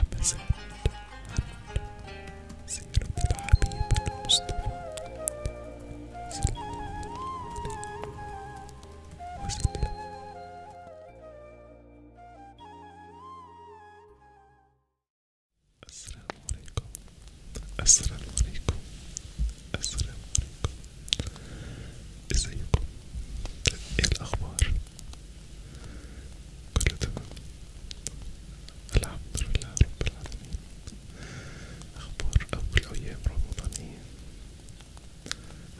أمزمت عن سيرة الحبيب المصطفى صلى الله عليه وسلم السلام عليكم السلام عليكم السلام عليكم ازيكم ايه الاخبار كله تمام الحمد لله رب العالمين أخبار أول أيام رمضانية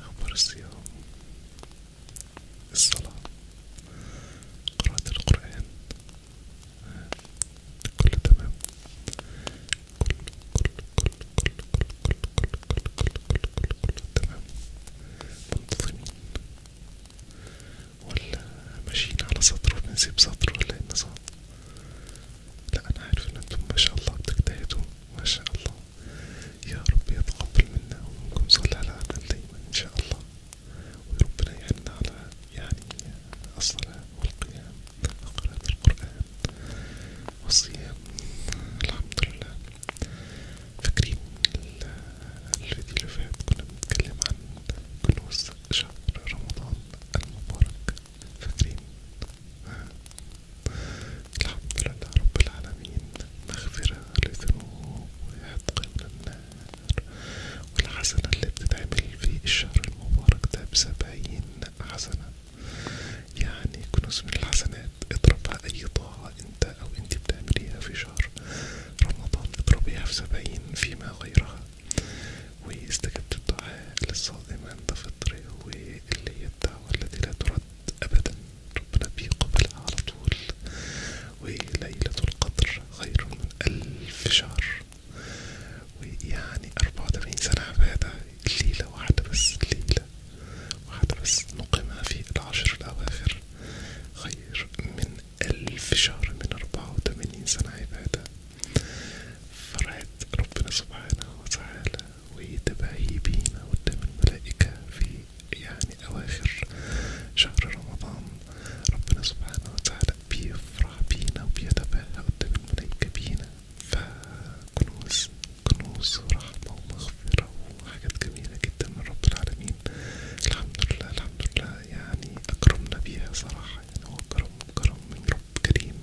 أخبار الصيام الصلاة قراءة القرآن كله تمام كل كل كل كل كل كل كل كل كل كل كل كل تمام منتظمين ولا ماشيين على سطر وبنسيب سطر ولا ايه النظام لا انا عارف ان انتم ما شاء الله بتجتهدوا ما شاء الله يا رب يتقبل منا ومنكم صالح العمل دايما ان شاء الله وربنا يعيننا على يعني الصلاة والقيام وقراءة القرآن والصيام الحمد لله فاكرين الفيديو اللي فات كنا بنتكلم عن كنوز شهر رمضان المبارك فاكرين الحمد لله رب العالمين مغفرة للذنوب وعتق من والحسنة اللي بتتعمل في الشهر المبارك ده بسبعين حسنة يعني كنوز من الحسنات اضربها أي طاعة أنت أو أنت بتعمليها في شهر رمضان اضربيها في سبعين فيما غيرها واستجبت الدعاء للصائم عند فطره واللي هي الدعوة التي لا ترد أبدا ربنا بيقبلها على طول وليلة القدر خير من ألف شهر ويعني أربعة وتمانين سنة عبادة ليلة واحدة بس ليلة وحتى بس نقيمها في العشر الأواخر خير من ألف شهر من أربعة وثمانين سنة عبادة فرعت ربنا سبحانه وتعالى وهي تباهي بينا قدام الملائكة في يعني أواخر شهر رمضان ربنا سبحانه وتعالى بيفرح بينا وبيتباهى قدام الملائكة بينا فكنوز كنوز ورحمة ومغفرة مغفرة وحاجات جميلة جدا من رب العالمين الحمد لله الحمد لله يعني أكرمنا بيها صراحة يعني هو كرم كرم من رب كريم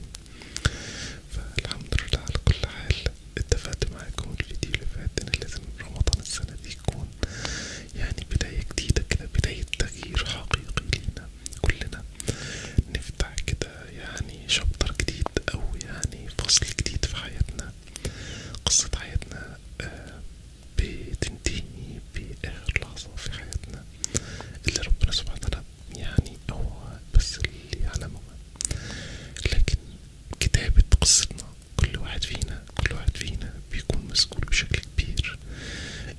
فالحمد لله على كل حال اتفقت معاكم الفيديو اللي فات إن لازم رمضان السنة دي يكون يعني بداية جديدة كده بداية تغيير حقيقي لينا كلنا نفتح كده يعني شابتر جديد أو يعني فصل جديد في حياتنا قصة حياتنا بتنتهي بآخر لحظة في حياتنا اللي ربنا سبحانه وتعالى يعني هو بس اللي يعلمه لكن كتابة قصتنا كل واحد فينا كل واحد فينا بيكون مسؤول بشكل كبير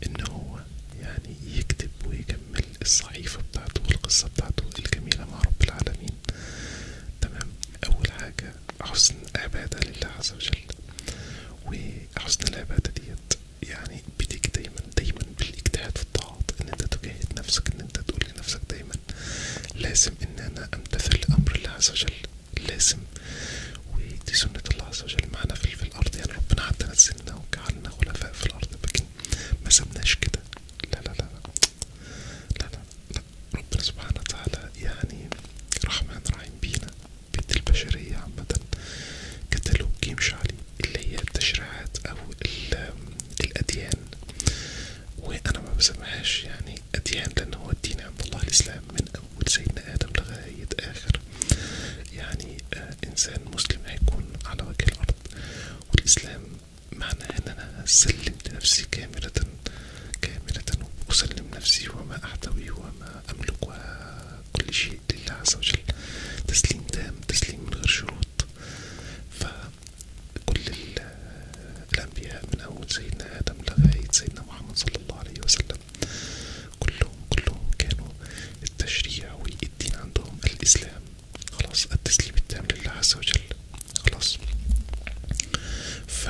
ان هو يعني يكتب ويكمل الصحيفة بتاعته والقصة بتاعته الجميلة مع رب العالمين تمام أول حاجة حسن العبادة لله عز وجل وحسن العبادة ديت يعني بديك دايما دايما بالاجتهاد في الطاعات ان انت تجاهد نفسك ان انت تقول لنفسك دايما لازم ان انا امتثل لامر الله عز وجل لازم ودي سنة الله عز وجل معانا في الارض يعني ربنا حتى نزلنا وجعلنا خلفاء في الارض لكن ما سبناش كده لا لا لا لا لا لا ربنا سبحانه وتعالى يعني رحمن رحيم بينا بيد البشرية عامة كتالوج يمشي عليه اللي هي التشريعات أو الأديان وأنا ما بسميهاش يعني أديان لأن هو الدين عند الله الإسلام من أول سيدنا آدم لغاية آخر يعني آه إنسان مسلم هيكون على وجه الأرض والإسلام معناه ان انا سلم لنفسي كاملة كاملة اسلم نفسي وما احتوي وما املك وكل شيء لله عز وجل تسليم تام تسليم من غير شروط فكل الانبياء من اول سيدنا ادم لغاية سيدنا محمد صلى الله عليه وسلم كلهم كلهم كانوا التشريع والدين عندهم الاسلام خلاص التسليم التام لله عز وجل خلاص ف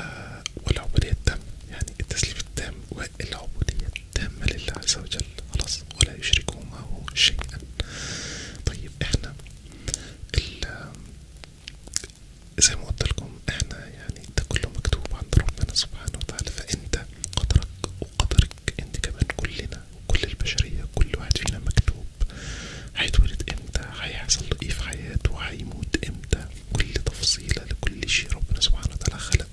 والعبودية التامة يعني التسليم التام والعبودية التامة لله عز وجل خلاص ولا يشركون معه شيئا طيب احنا زي ما قلت لكم احنا يعني ده كله مكتوب عند ربنا سبحانه وتعالى فانت قدرك وقدرك انت كمان كلنا وكل البشرية كل واحد فينا مكتوب هيتولد امتى هيحصل ايه في حياته هيموت امتى كل تفصيلة لكل شيء ربنا سبحانه وتعالى خلقه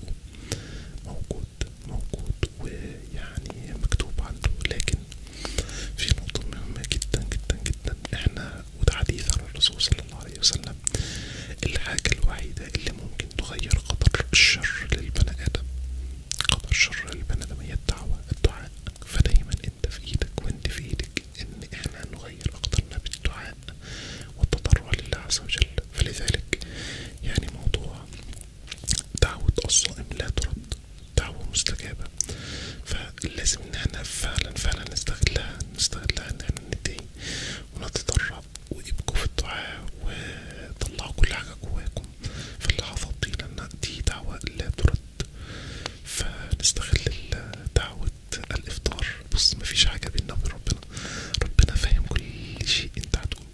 موجود موجود ويعني مكتوب عنده لكن في نقطة مهمة جدا جدا جدا احنا وده حديث عن الرسول صلى الله عليه وسلم الحاجة الوحيدة اللي ممكن تغير قدر الشر للبني آدم قدر شر البني آدم هي الدعوة الدعاء فدايما انت في ايدك وانت في ايدك ان احنا نغير اقدارنا بالدعاء والتضرع لله عز وجل فلذلك يعني موضوع دعوة الصائم لا ترد دعوة مستجابة فلازم ان احنا فعلا فعلا نستغلها نستغلها ان احنا ندعي ونتضرع وابقوا في الدعاء وطلعوا كل حاجة جواكم في اللحظات دي لان دي دعوة لا ترد فنستغل دعوة الإفطار بص مفيش حاجة بينا وبين ربنا ربنا فاهم كل شيء أنت هتقوله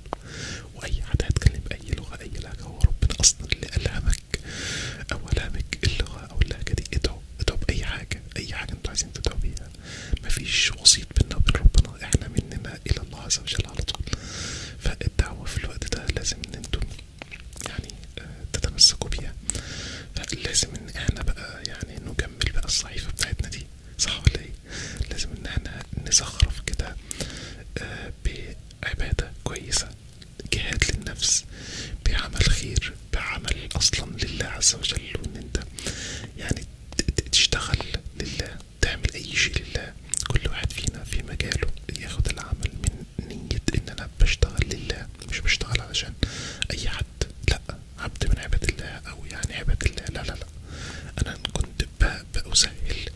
وأي حد هيتكلم بأي لغة أي لهجة هو ربنا أصلا اللي ألهمك أو ألهمك اللغة أو اللهجة دي ادعوا ادعوا بأي حاجة أي حاجة أنتوا عايزين تدعوا بيها مفيش وسيط بينا وبين ربنا إحنا مننا إلى الله عز وجل على طول فالدعوة في الوقت ده لازم إن انتوا يعني آه، تتمسكوا بيها لازم ان احنا بقى يعني نكمل بقى الصحيفة بتاعتنا دي صح ولا ايه؟ لازم ان احنا نزخرف كده آه، بعبادة كويسة جهاد للنفس بعمل خير بعمل اصلا لله عز وجل وان انت يعني تشتغل لله تعمل اي شيء لله كل واحد فينا في مجاله ياخد العمل من نية إن أنا بشتغل لله مش بشتغل علشان أي حد لأ عبد من عباد الله أو يعني عباد الله لا لا لا أنا كنت بأسهل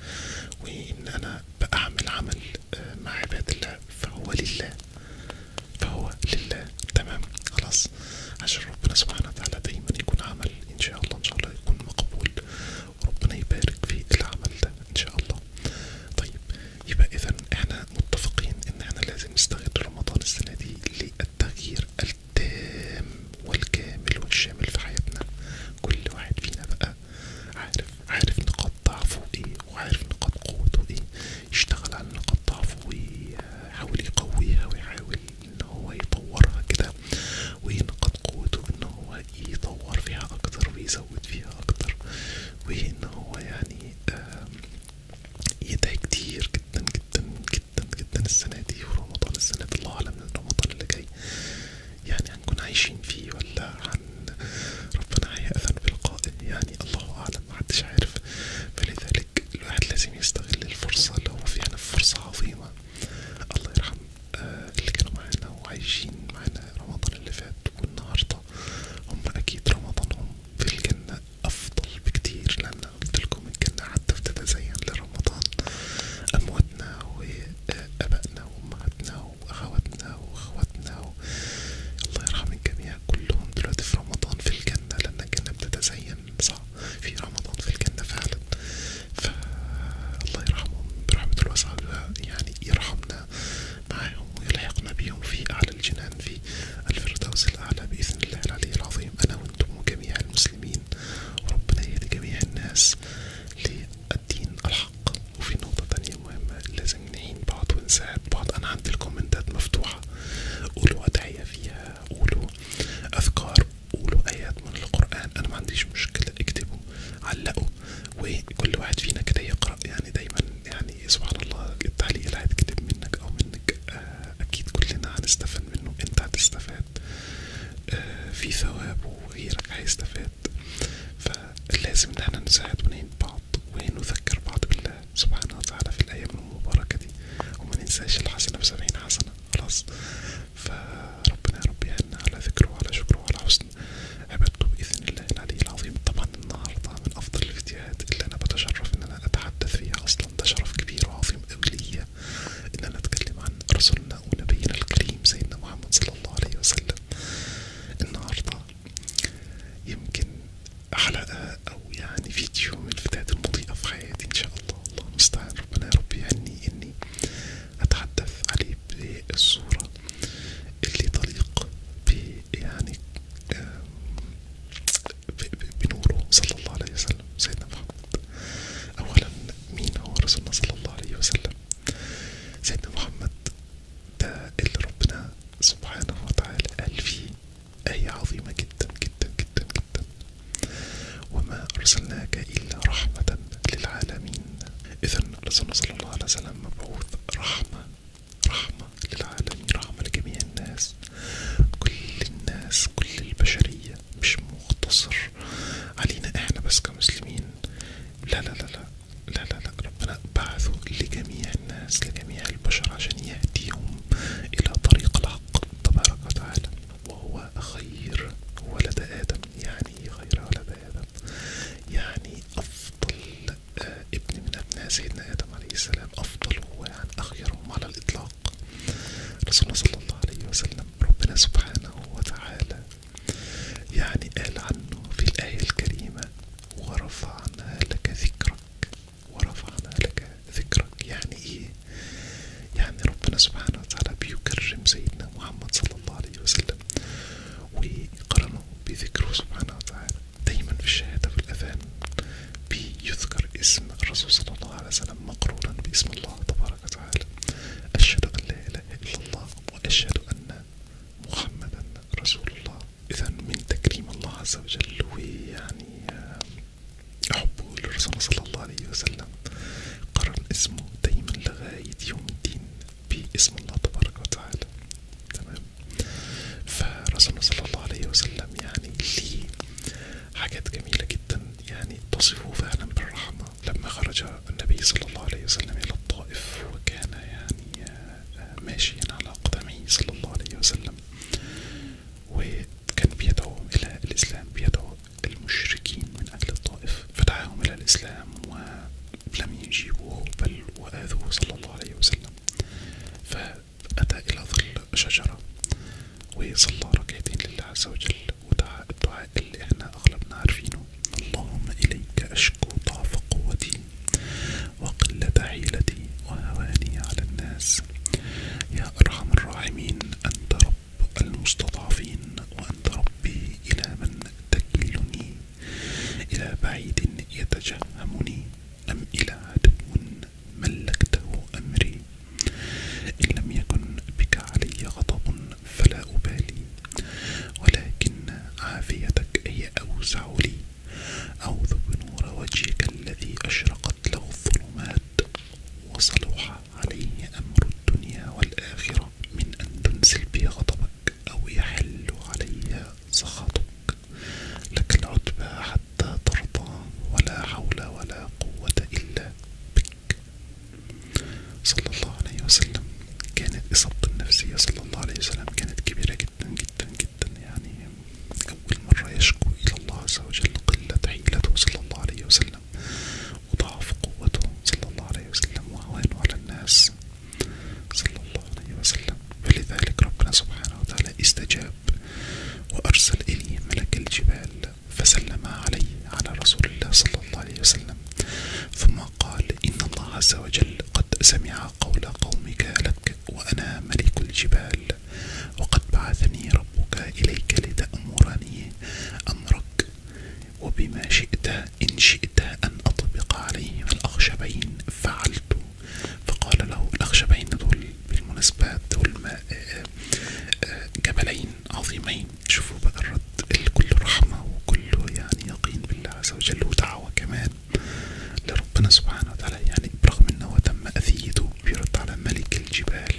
وإن أنا بأعمل عمل آه، مع عباد الله فهو لله فهو لله تمام خلاص عشان ربنا سبحانه وتعالى دايما يكون عمل إن شاء الله إن شاء الله يكون مقبول وربنا يبارك في العمل ده إن شاء الله طيب يبقى اذا احنا متفقين ان احنا لازم نستغل رمضان السنة دي للتغيير التام والكامل والشامل في حياتنا كل واحد فينا بقى عارف عارف نقاط ضعفه ايه وعارف نقاط قوته ايه يشتغل على نقاط ضعفه ويحاول يقويها ويحاول ان هو يطورها كده ونقاط قوته ان هو يطور فيها اكتر ويزود فيها اكتر وان هو يعني آه، يدعي كتير جدا جدا جدا جدا السنة دي ورمضان السنة دي الله أعلم رمضان اللي جاي يعني هنكون عايشين فيه ولا هن ربنا هيأذن في القائم يعني الله أعلم محدش عارف فلذلك الواحد لازم يستغل الفرصة اللي هو فيها فرصة عظيمة الله يرحم آه، اللي كانوا معانا وعايشين معانا رمضان اللي فات والنهاردة النهارده هم اكيد رمضانهم في الجنه افضل بكتير لان قلتلكم الجنه حتى بتتزين لرمضان امواتنا وابائنا وامهاتنا واخواتنا واخواتنا و... الله يرحم الجميع كلهم دلوقتي في رمضان في الجنه لان الجنه بتتزين صح في رمضان في الجنه فعلا فالله يرحمهم برحمه الواسعه يعني يرحمنا معهم ويلحقنا بهم في أعلى الجنان في الفردوس الأعلى بإذن الله العلي العظيم أنا وأنتم وجميع المسلمين وربنا يهدي جميع الناس للدين الحق وفي نقطة تانية مهمة لازم نعين بعض ونساعد بعض أنا عندي الكومنتات مفتوحة قولوا أدعية فيها قولوا أذكار قولوا آيات من القرآن أنا ما عنديش مشكلة اكتبوا علقوا وكل واحد فينا كده يقرأ يعني دايما يعني سبحان الله التعليق اللي هيتكتب منك أو منك آه، أكيد كلنا هنستفاد منه أنت هتستفاد آه، في ثواب وغيرك هيستفاد فلازم إن احنا نساعد ونعين بعض ونذكر بعض بالله سبحانه وتعالى في الأيام المباركة دي وما ننساش الحسنة بسبعين حسنة خلاص فربنا يا رب يعيننا على ذكره وعلى شكره وعلى حسن الفصل بإذن الله العلي العظيم طبعا النهاردة من أفضل الفيديوهات اللي أنا بتشرف إن أنا أتحدث فيها أصلا ده شرف كبير وعظيم أوي ليا إن أنا أتكلم عن رسولنا ونبينا الكريم سيدنا محمد صلى الله عليه وسلم النهاردة يمكن حلقة أو يعني فيديو من الفيديوهات المضيئة في حياتي إن شاء الله الله المستعان ربنا يا رب يهني إني أتحدث عليه بصورة اللي طليق يعني بنوره صلى الله عليه وسلم سيدنا محمد أولا مين هو رسولنا صلى الله عليه وسلم سيدنا محمد ده اللي ربنا سبحانه وتعالى قال فيه آية عظيمة جدا جدا جدا جدا وما أرسلناك إلا رحمة للعالمين إذا رسولنا صلى الله عليه وسلم مبعوث رحمة رحمة للعالمين رحمة لجميع الناس كل الناس كل البشرية مش مقتصر علينا احنا بس كمسلمين لا لا لا لا لا لا لا ربنا بعثه لجميع الناس لجميع البشر عشان يهديهم إلى طريق الحق تبارك وتعالى وهو خير ولد آدم يعني خير ولد آدم يعني أفضل آه، ابن من أبناء سيدنا آدم عليه السلام أفضل هو يعني أخيرهم على الإطلاق رسولنا صلى الله عليه وسلم ربنا سبحانه وتعالى يعني قال عنه في الآية الكريمة ورفعنا لك ذكرك ورفعنا لك ذكرك يعني إيه؟ يعني ربنا سبحانه وتعالى بيكرم سيدنا محمد صلى الله عليه وسلم ويقرنه بذكره سبحانه وتعالى دايما في الشهادة في الأذان بيذكر اسم الرسول صلى الله عليه وسلم مقرورا باسم الله تبارك وتعالى أشهد أن لا إله إلا الله وأشهد أن محمدا رسول الله إذا من تكريم الله عز وجل ويعني آه، حبه للرسول صلى الله عليه وسلم قرن اسمه دايما لغاية يوم الدين باسم الله تبارك وتعالى تمام فرسول صلى الله عليه وسلم يعني ليه حاجات جميلة جدا يعني تصفه فعلا بالرحمة لما خرج النبي صلى الله عليه وسلم إلى الطائف وكان يعني آه، ماشيا على أقدمه صلى الله عليه وسلم وكان بيدعو إلى الإسلام بيدعو المشركين من أجل الطائف فدعاهم إلى الإسلام لم يجيبوه بل وآذوه صلى الله عليه وسلم فأتى إلى ظل شجرة وصلى ركعتين لله عز وجل ودعا الدعاء اللي احنا أغلبنا عارفينه اللهم إليك أشكو ضعف قوتي وقلة حيلتي وهواني على الناس يا أرحم الراحمين أنت رب المستضعفين وأنت ربي إلى من تكلني إلى بعيد يتجهمني أم إلى عدو ملكته أمري إن لم يكن بك علي غضب فلا أبالي ولكن عافيتك هي أوسع لي أعوذ بنور وجهك الذي أشرقت له الظلمات وصلح عليه أمر الدنيا والآخرة من أن تنزل بي غضبك أو يحل عليها سخطك لك العتبى حتى ترضى ولا حول ولا قوة إلا بك صلى الله عليه وسلم كانت إصابته النفسية صلى الله عليه وسلم كانت كبيرة جدا جدا جدا يعني أول مرة يشكو إلى الله عز وجل قلة حيلته صلى الله عليه وسلم وضعف قوته صلى الله عليه وسلم وهوانه على الناس صلى الله عليه وسلم فلذلك ربنا سبحانه وتعالى استجاب وأرسل إليه ملك الجبال فسلم عليه على رسول الله صلى الله عليه وسلم ثم قال إن الله عز وجل قد سمع قول قومك لك وأنا ملك الجبال وقد بعثني ربك إليك لتأمرني أمرك وبما شئت إن شئت أن أطبق عليهم الأخشبين فعلت فقال له الأخشبين دول بالمناسبة دول آه، آه، جبلين عظيمين شوفوا بقى الرد الكل رحمة وكله يعني يقين بالله عز وجل ودعوة كمان لربنا سبحانه وتعالى يعني برغم أنه تم أذيته بيرد على ملك الجبال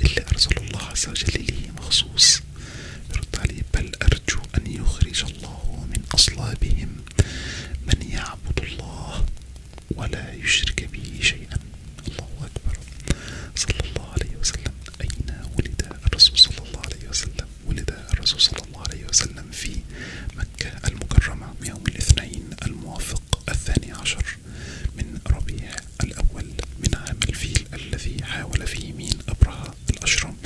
اللي أرسل الله عز وجل ليه مخصوص رد عليه بل أرجو أن يخرج الله من أصلابهم من يعبد الله ولا يشرك به شيئا الله أكبر صلى الله عليه وسلم أين ولد الرسول صلى الله عليه وسلم ولد الرسول صلى الله عليه وسلم في مكة المكرمة يوم الاثنين الموافق الثاني عشر من ربيع الأول من عام الفيل الذي حاول فيه مين أبرهة الأشرم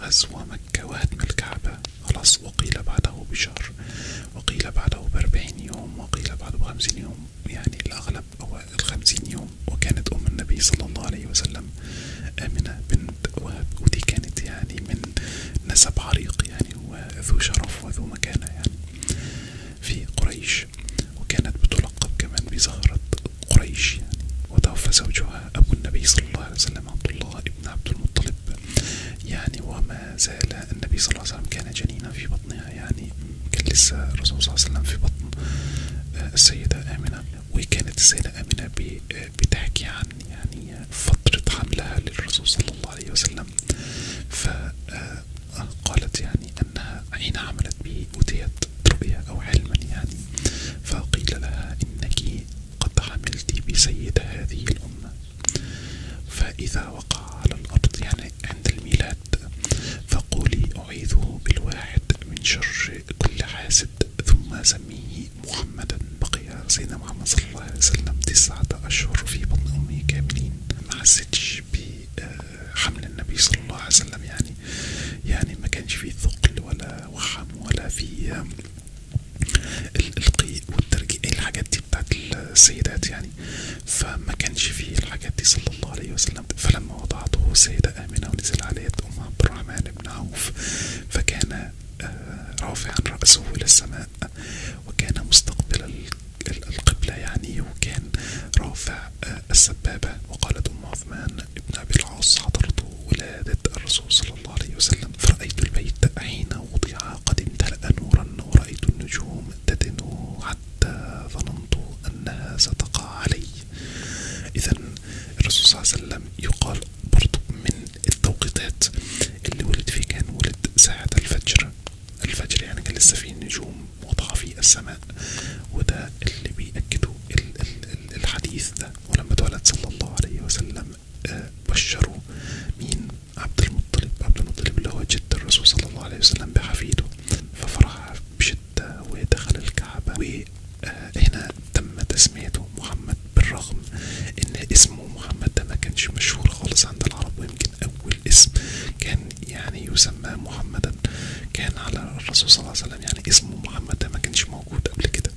غزو مكة وهدم الكعبة خلاص وقيل بعده بشهر وقيل بعده بأربعين يوم وقيل بعده بخمسين يوم يعني الأغلب هو الخمسين يوم وكانت أم النبي صلى الله عليه وسلم آمنة بنت وهب ودي كانت يعني من نسب عريق يعني وذو شرف وذو مكانة يعني في قريش وكانت بتلقب كمان بزهرة قريش يعني وتوفى زوجها أبو النبي صلى الله عليه وسلم عبد الله ابن عبد المطلب يعني وما زال النبي صلى الله عليه وسلم كان جنينا في بطنها يعني كان لسه الرسول صلى الله عليه وسلم في بطن آه، السيدة آمنة وكانت السيدة آمنة آه، بتحكي عن يعني فترة حملها للرسول صلى الله عليه وسلم فقالت آه، يعني أنها حين عملت به أتيت رؤيا أو علما يعني فقيل لها إنك قد عملت بسيد هذه الأمة فإذا وقع على الأرض يعني عند الميلاد فقولي أعيذه بالواحد من شر كل حاسد ثم سميه محمدا بقي سيدنا محمد صلى الله عليه وسلم تسعة أشهر في بطن أمه كاملين ما حسيتش بحمل النبي صلى الله عليه وسلم يعني يعني ما كانش فيه ثقل ولا وحم ولا فيه القيء والترجيع إيه الحاجات دي بتاعت السيدات يعني فما فيه الحاجات دي صلى الله عليه وسلم فلما وضعته السيدة آمنة ونزل عليه أم عبد بن عوف فكان آه، رافعا رأسه إلى السماء وكان مستقبل القبلة يعني وكان رافع آه، السبابة وقالت أم عثمان ابن أبي العاص حضرته ولادة الرسول صلى الله عليه وسلم فرأيت البيت حين وضع قد امتلأ نورا ورأيت النجوم تدنو حتى ظننت أنها ستقع علي إذا الرسول صلى الله عليه وسلم يقال برضو من التوقيتات اللي ولد فيه كان ولد ساعة الفجر الفجر يعني كان لسه فيه النجوم واضحة في السماء وده اللي بيأكده الحديث ده ولما تولد صلى الله عليه وسلم آه، بشروا مين عبد المطلب عبد المطلب اللي هو جد الرسول صلى الله عليه وسلم بحفيده ففرح بشدة ودخل الكعبة وهنا تم تسميته محمد بالرغم ان اسمه محمد ده ما كانش مشهور خالص عند العرب ويمكن اول اسم كان يعني يسمى محمدا كان على الرسول صلى الله عليه وسلم يعني اسمه محمد ده ما كانش موجود قبل كده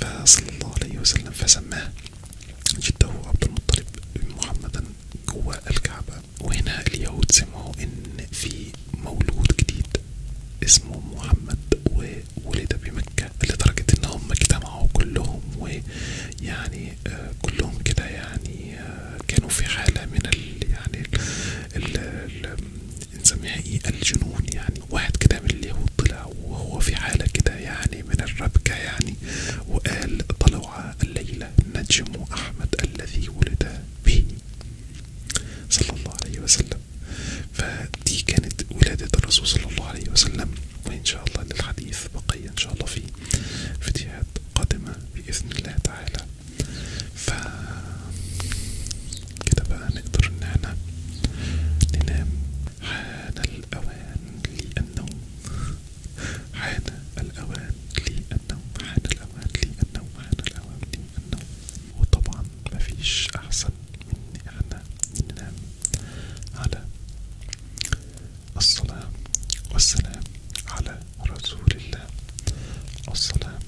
فصلى الله عليه وسلم فسماه جده عبد المطلب محمدا جوا الكعبة وهنا اليهود سمعوا ان في مولود جديد اسمه محمد وولد بمكة لدرجة ان هم اجتمعوا كلهم ويعني آه كلهم كده يعني آه كانوا في حالة من ال يعني ال ال نسميها ايه الجنون يعني واحد كده من اللي هو طلع وهو في حالة كده يعني من الربكة يعني وقال طلع الليلة نجم أحمد الذي ولد به صلى الله عليه وسلم فدي كانت ولادة الرسول صلى الله عليه وسلم وإن شاء الله للحديث بقي إن شاء الله في فيديوهات قادمة بإذن الله تعالى ف كده بقى نقدر ان احنا ننام حان الاوان للنوم حان الاوان للنوم حان الاوان للنوم حان الاوان للنوم وطبعا مفيش احسن من احنا ننام على الصلاة والسلام على رسول الله الصلاة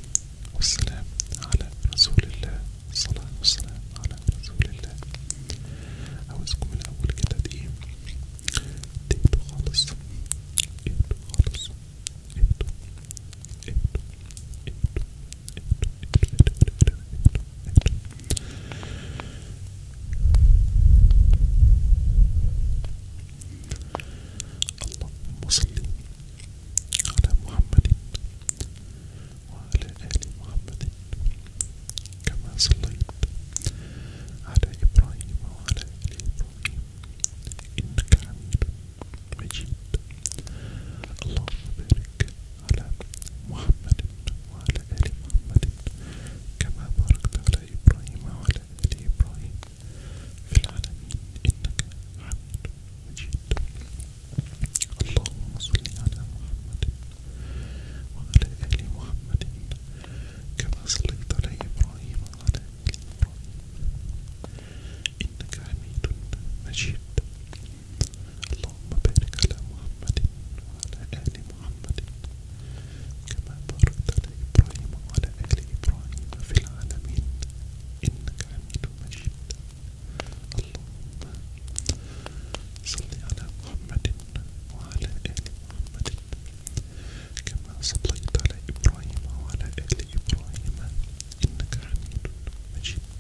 والسلام على رسول الله الصلاة والسلام على رسول الله عاوزكم الأول كده ايه تهدوا خالص اهدوا خالص اهدوا اهدوا اهدوا اهدوا اهدوا اهدوا اللهم صل على محمد وعلى آل محمد كما صليت على إبراهيم وعلى آل إبراهيم إنك حميد مجيد اللهم بارك على محمد وعلى آل محمد كما باركت على إبراهيم وعلى آل إبراهيم في العالمين إنك حميد مجيد اللهم صل على محمد وعلى آل محمد كما صليت على إبراهيم وعلى آل إبراهيم إنك حميد مجيد اللهم بارك على محمد وعلى آل محمد كما باركت على إبراهيم وعلى آل إبراهيم في العالمين إنك حميد مجيد اللهم صل على محمد وعلى آل محمد كما صليت على إبراهيم وعلى آل إبراهيم إنك حميد مجيد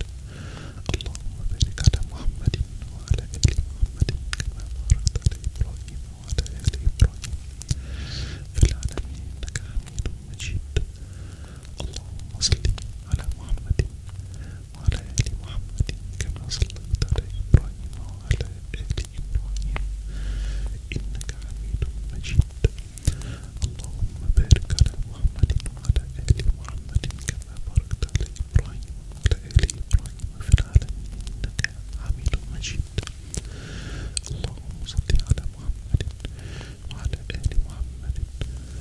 اللهم بارك على محمد وعلى آل محمد كما باركت على إبراهيم وعلى آل إبراهيم في العالمين إنك حميد مجيد اللهم صل على محمد وعلى آل محمد كما صليت على إبراهيم وعلى آل إبراهيم إنك حميد مجيد اللهم بارك على محمد وعلى آل محمد كما باركت على إبراهيم وعلى آل إبراهيم في العالمين إنك حميد مجيد اللهم صل على محمد وعلى آل محمد